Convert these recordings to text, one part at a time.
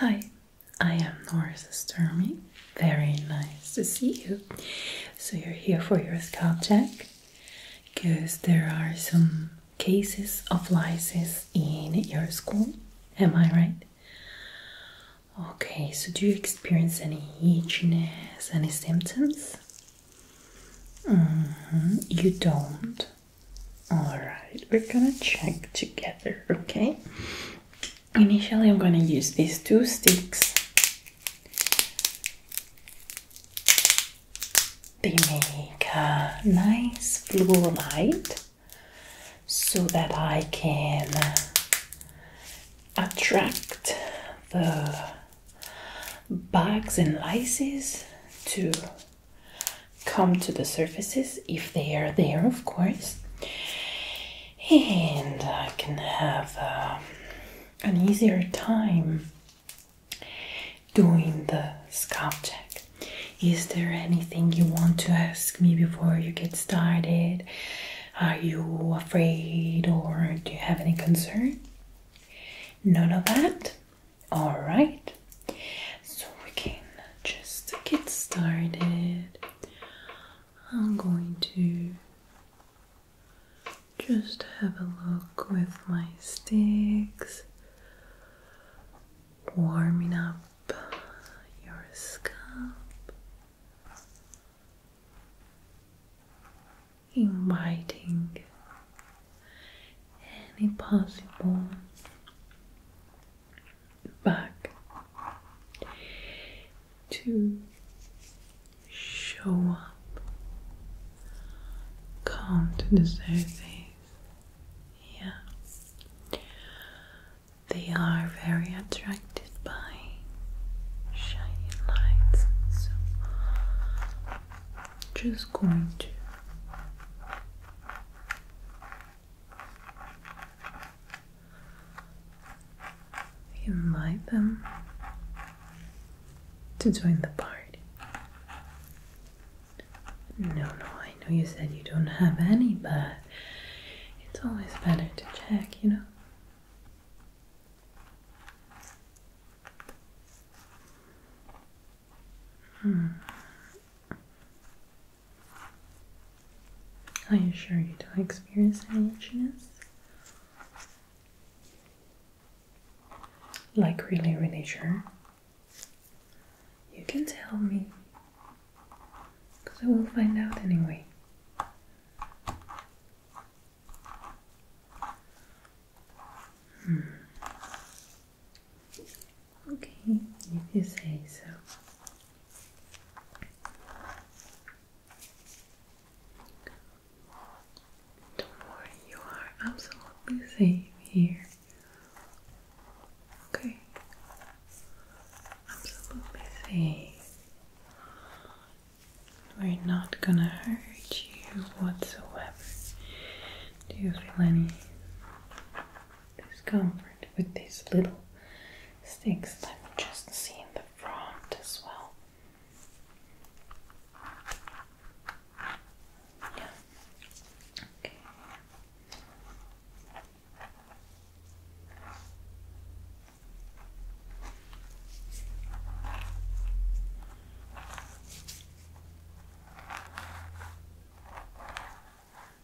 Hi, I am Norris Sturmy. Very nice to see you. So, you're here for your scalp check because there are some cases of lice in your school. Am I right? Okay, so do you experience any itchiness, any symptoms? Mm-hmm, you don't. Alright, we're gonna check together, okay? Initially, I'm gonna use these two sticks. They make a nice blue light so that I can attract the bugs and lices to come to the surfaces if they are there, of course. And I can have um, an easier time doing the scalp check. Is there anything you want to ask me before you get started? Are you afraid or do you have any concern? None of that? Alright. So we can just get started. I'm going to just have a look with my sticks, warming up your scalp, inviting any possible back to show up, come to the surface. Yeah, they are very attracted by shining lights, so just going to invite them to join the party. No, no, I know you said you don't have any, but it's always better to check, you know? Hmm. Are you sure you don't experience any itchiness? Like really, really sure? You can tell me. Because I will find out anyway. Hmm. Okay, if you say so. Don't worry, you are absolutely safe here. Okay, absolutely safe. We're not gonna hurt you whatsoever. Do you feel any discomfort with these little sticks. I've just seen the front as well.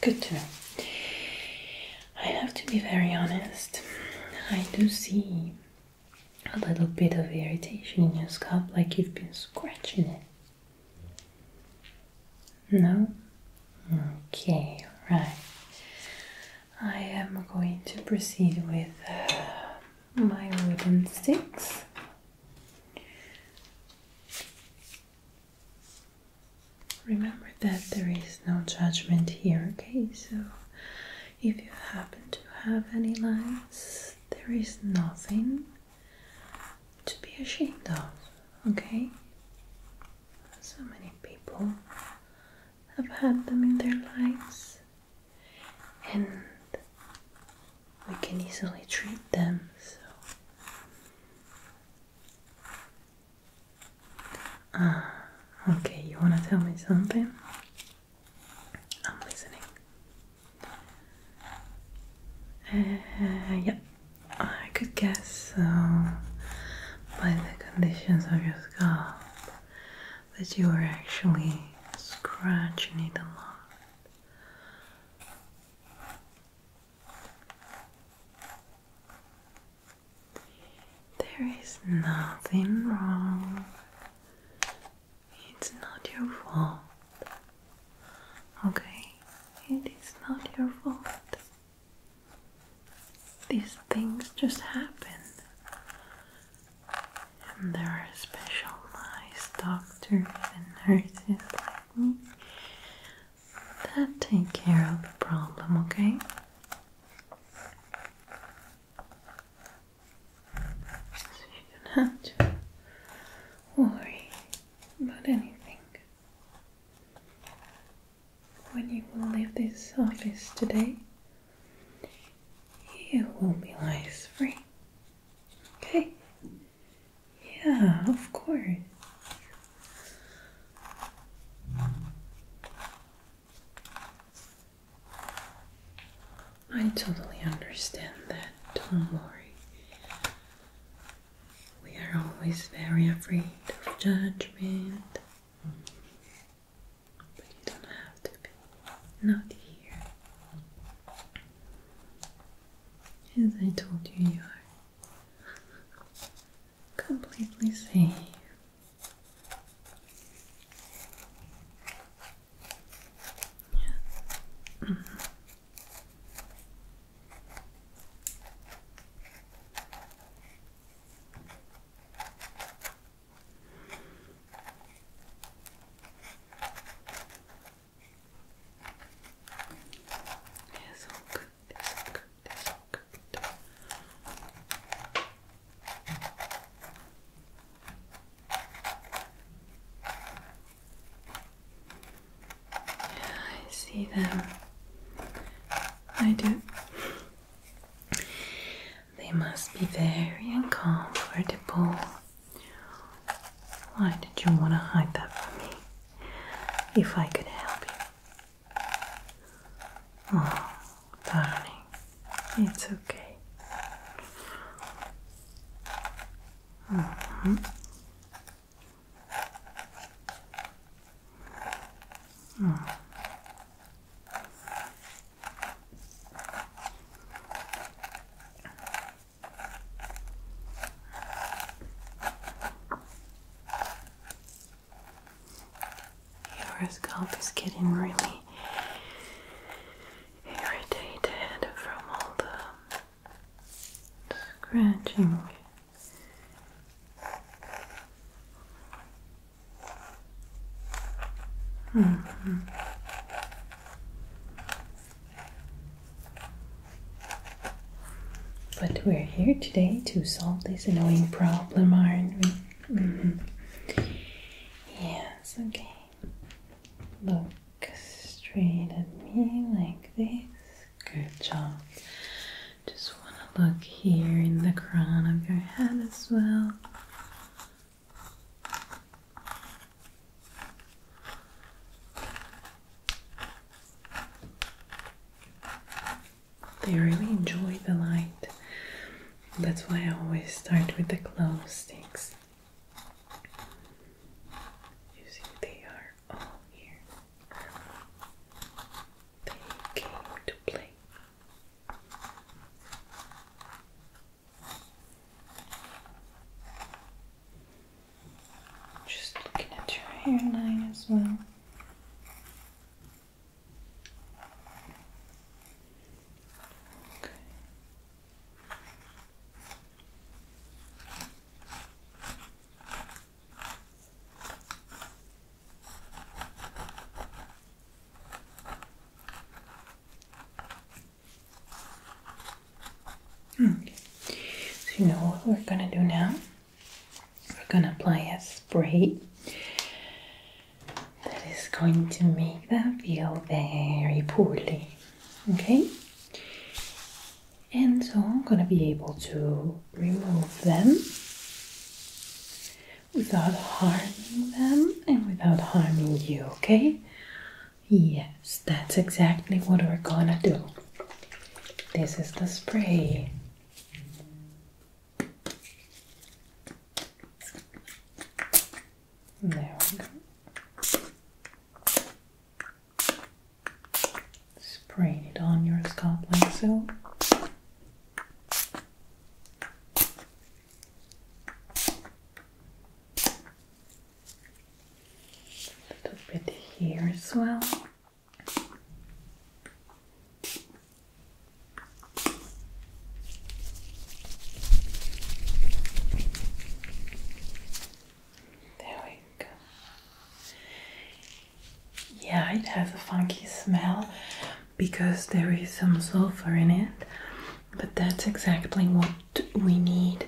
Good to know. I have to be very honest. I do see a little bit of irritation in your scalp, like you've been scratching it. No? Okay, alright. I am going to proceed with uh, my wooden sticks. Remember that there is no judgment here, okay? So if you happen to have any lies, there is nothing to be ashamed of, okay? So many people have had them in their lives, and we can easily treat them. So Ah, okay, you wanna tell me something? I'm listening. Uh, yeah, I could guess uh, by the conditions of your scalp that you are actually scratching it a lot. There is nothing wrong. It's not your fault. Okay? It is not your fault. These things just happen. And there are special nice doctors and nurses like me that take care of the problem, okay? So you don't have to worry about anything. When you leave this office today, you will be lice free. Okay? Yeah, of course. I totally understand that, don't worry. We are always very afraid of judgment, but you don't have to be. Not here. As I told you, you are completely safe. Yes, I see them. I do. They must be very uncomfortable. Why did you want to hide that from me? If I could help you, Oh, darling, it's okay. Mm-hmm. Mm-hmm. Your scalp is getting really irritated from all the scratching. Mm-hmm. But we're here today to solve this annoying problem, aren't we? Mm-hmm. Yes, okay. Look straight at me like this. Good job. Just want to look here in the crown of your head as well. They really enjoy the light. That's why I always start with the glow sticks. You see, they are all here. They came to play. Just looking at your hairline as well. Okay. Hmm. So you know what we're gonna do now? we're gonna apply a spray that is going to make them feel very poorly. Okay? And so I'm gonna be able to remove them without harming them and without harming you, okay? Yes, that's exactly what we're gonna do. This is the spray. There we go. Spray it on your scalp like so. A little bit here as well. There we go. Yeah, it has a funky smell because there is some sulfur in it, but that's exactly what we need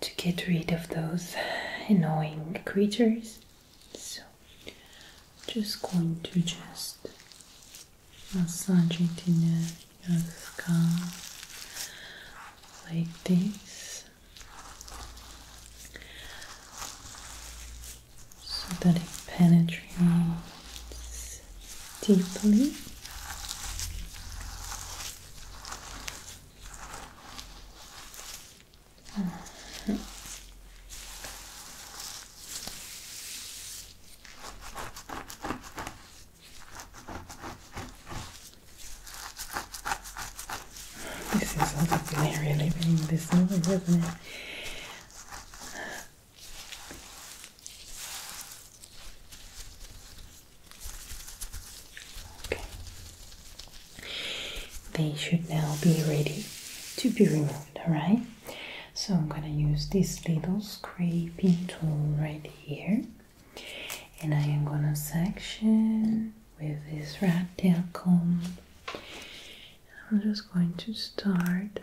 to get rid of those annoying creatures. So, I'm just going to just massage it in your scalp like this, so that it penetrates deeply. This is all I've been really living in this noise, isn't it? They should now be ready to be removed, alright? So I'm gonna use this little scraping tool right here and I am gonna section with this rat tail comb. I'm just going to start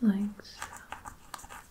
like so.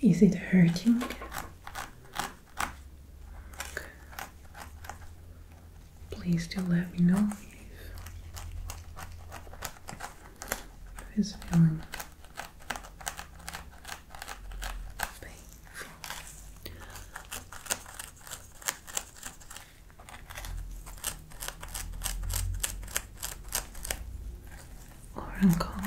Is it hurting? Please do let me know if, if feeling or uncomfortable.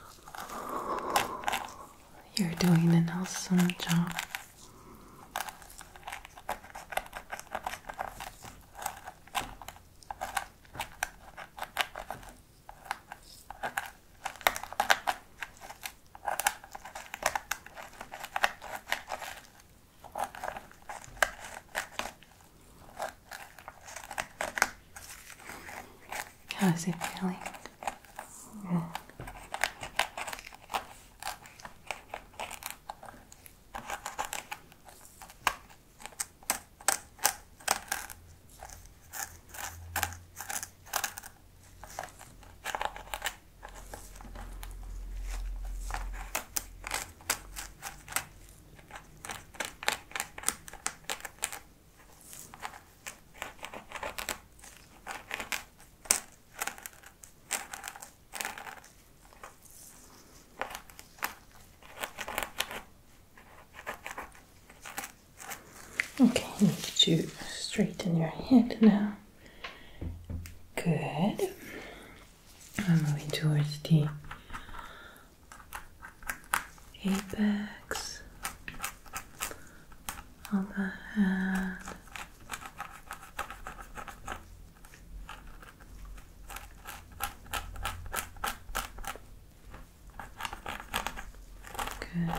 You're doing an awesome job. How's it feeling? Okay, I need to straighten your head now. Good. I'm moving towards the apex of the head. Good.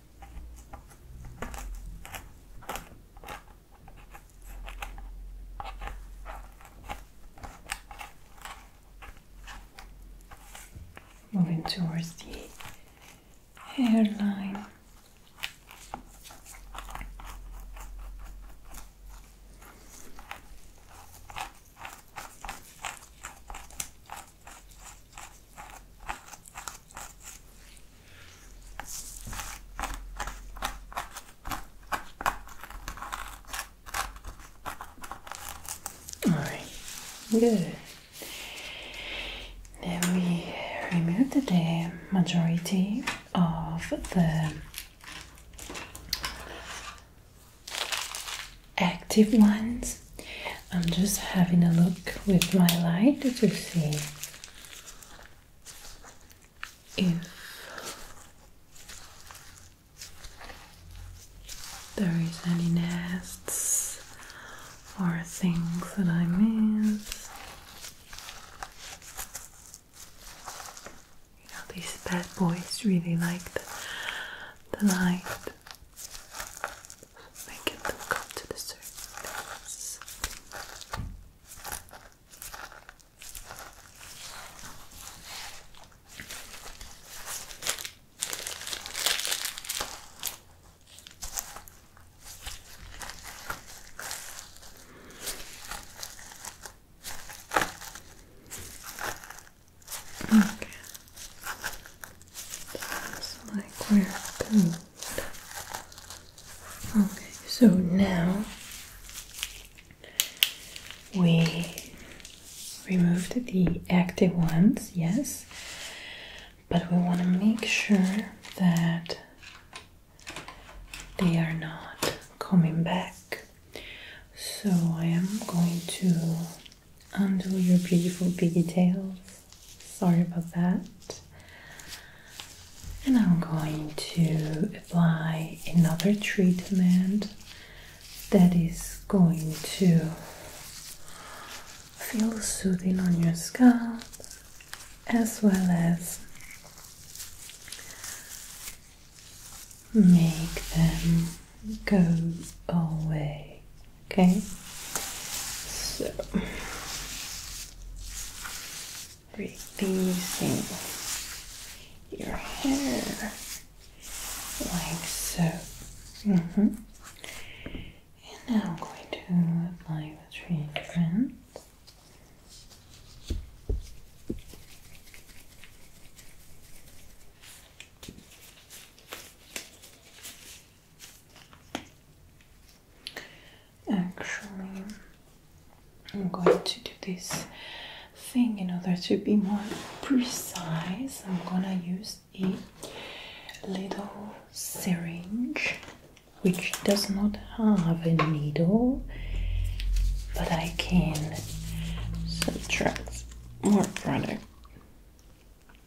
Moving towards the hairline. All right, good. Now we removed the majority of the active ones I'm just having a look with my light to see if there is any nests or things that I miss. You know, these bad boys really like the, the light making them come to the surface. Okay. Okay, so now we removed the active ones, yes, but we want to make sure that they are not coming back. So I am going to undo your beautiful tails. Sorry about that. And I'm going to apply another treatment that is going to feel soothing on your scalp as well as make them go away Okay. So releasing your hair like so. Mm-hmm. And now I'm going to apply the treatment. Actually, I'm going to do this thing in order to be more precise. I'm gonna use a little syringe which does not have a needle, but I can subtract more product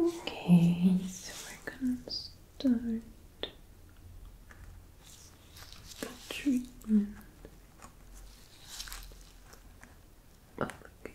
Okay, so we're gonna start the treatment application.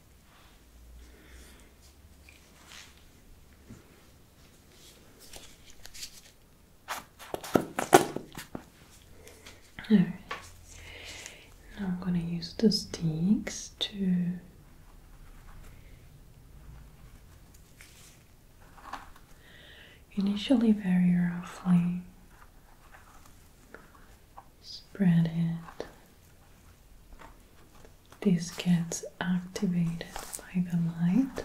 Now I'm going to use the sticks to initially very roughly spread it this gets activated by the light.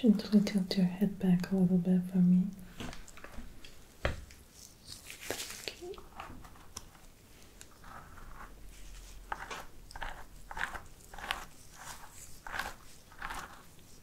Gently tilt your head back a little bit for me.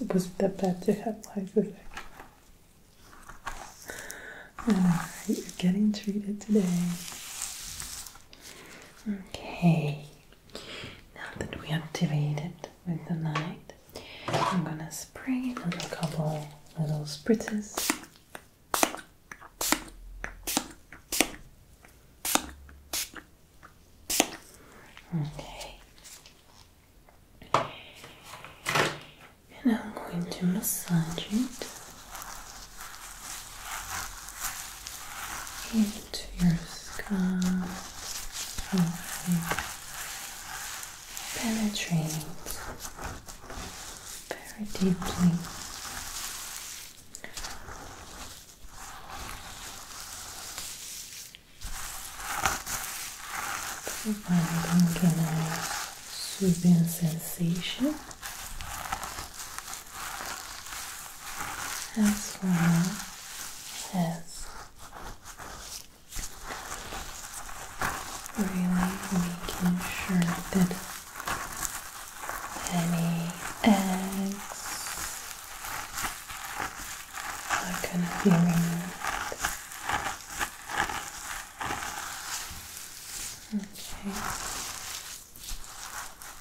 It wasn't that bad to you're getting treated today. Okay, now that we activated with the light, I'm gonna spray on a couple little spritzes. Okay. And I'm going to massage it to your scalp, slowly penetrate very deeply. Providing a soothing sensation as well as really making sure that any eggs are gonna be removed. Okay.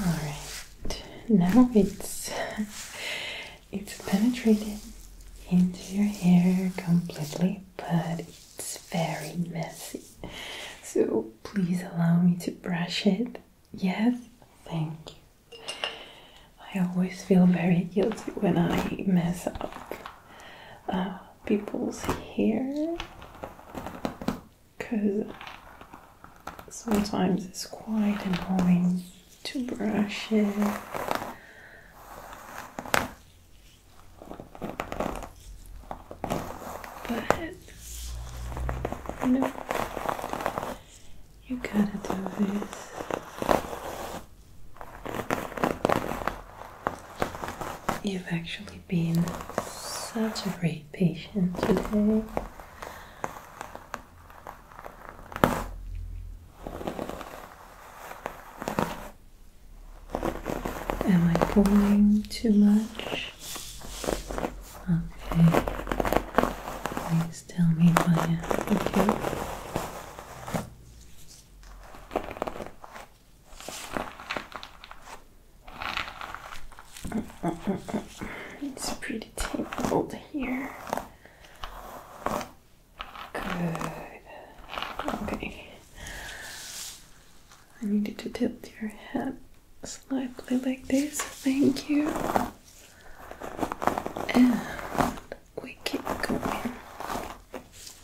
Alright, now it's it's penetrated into your hair completely, but it's very messy. So please allow me to brush it. Yes, thank you. I always feel very guilty when I mess up. Uh, people's hair because sometimes it's quite annoying to brush it. But you you gotta do this. You've actually been such a great patient today. Am I pulling too much? Okay. Please tell me if I am, okay? It's pretty tabled here. Good. Okay. I need you to tilt your head slightly like this. Thank you. And we keep going.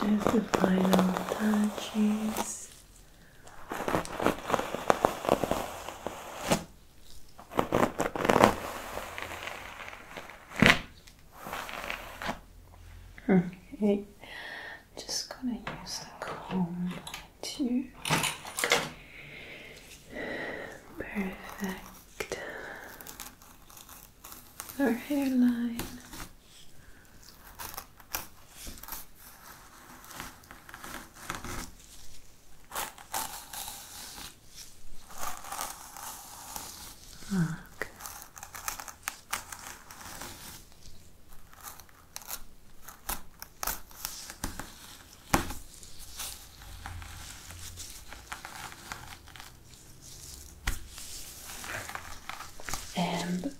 Just the final touches. Okay, just gonna use the comb to perfect our hairline. Look, and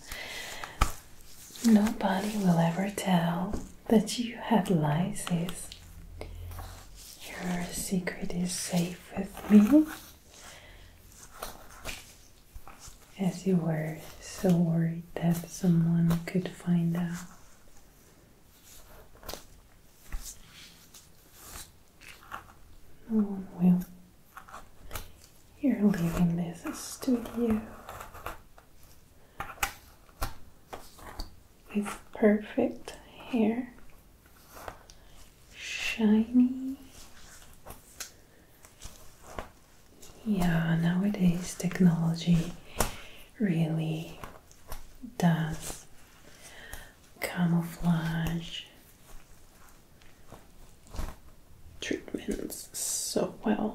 nobody will ever tell that you had lice. Your secret is safe with me as you were so worried that someone could find out. No one will. You're leaving this studio. It's perfect hair, shiny, yeah, nowadays technology really does camouflage treatments so well.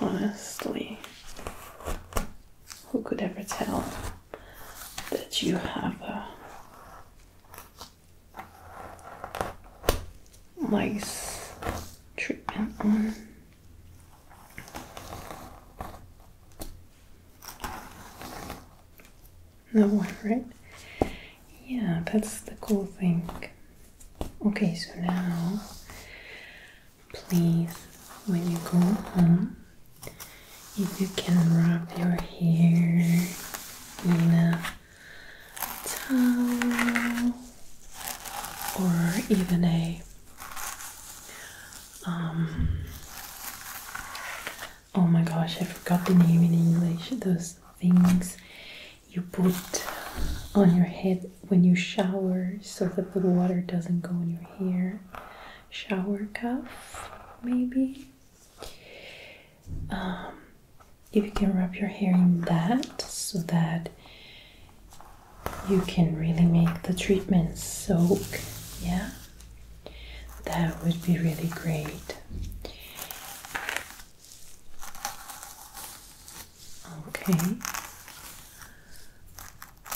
Honestly, who could ever tell that you have a Nice treatment on. That one, right? Yeah, that's the cool thing. Okay, so now please, when you go home, if you can wrap your hair in a towel or even a um, oh my gosh I forgot the name in English those things you put on your head when you shower so that the water doesn't go in your hair shower cuff maybe um, if you can wrap your hair in that so that you can really make the treatment soak, yeah, that would be really great. Okay.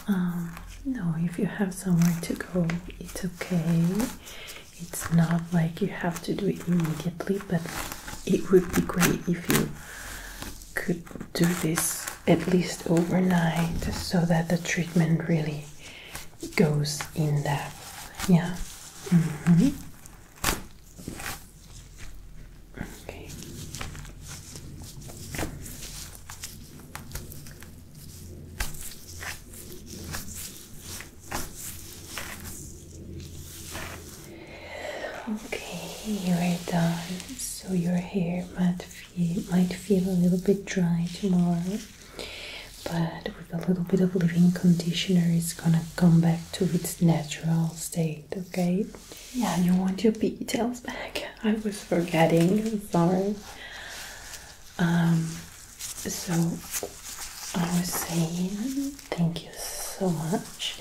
Um, no, if you have somewhere to go, it's okay. It's not like you have to do it immediately, but it would be great if you could do this at least overnight so that the treatment really goes in depth. Yeah. Mm-hmm. Okay. Okay, you're done. So your hair might feel, might feel a little bit dry tomorrow, but with a little bit of leave-in conditioner, it's gonna come back to its natural state. Okay? Yeah, you want your pigtails back. I was forgetting. sorry. Um, so I was saying thank you so much,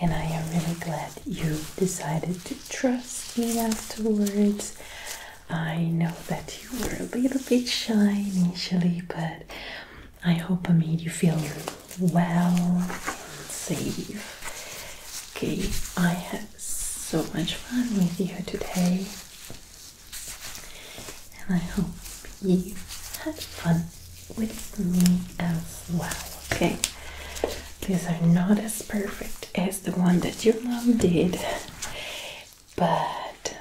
and I am really glad you decided to trust me afterwards. I know that you were a little bit shy initially, but I hope I made you feel well and safe. Okay, I had so much fun with you today and I hope you had fun with me as well. Okay, these are not as perfect as the one that your mom did, but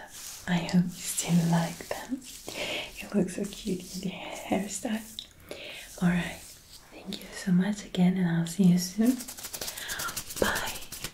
I hope you still like them. You look so cute in the hairstyle. Alright, thank you so much again, and I'll see you soon. Bye.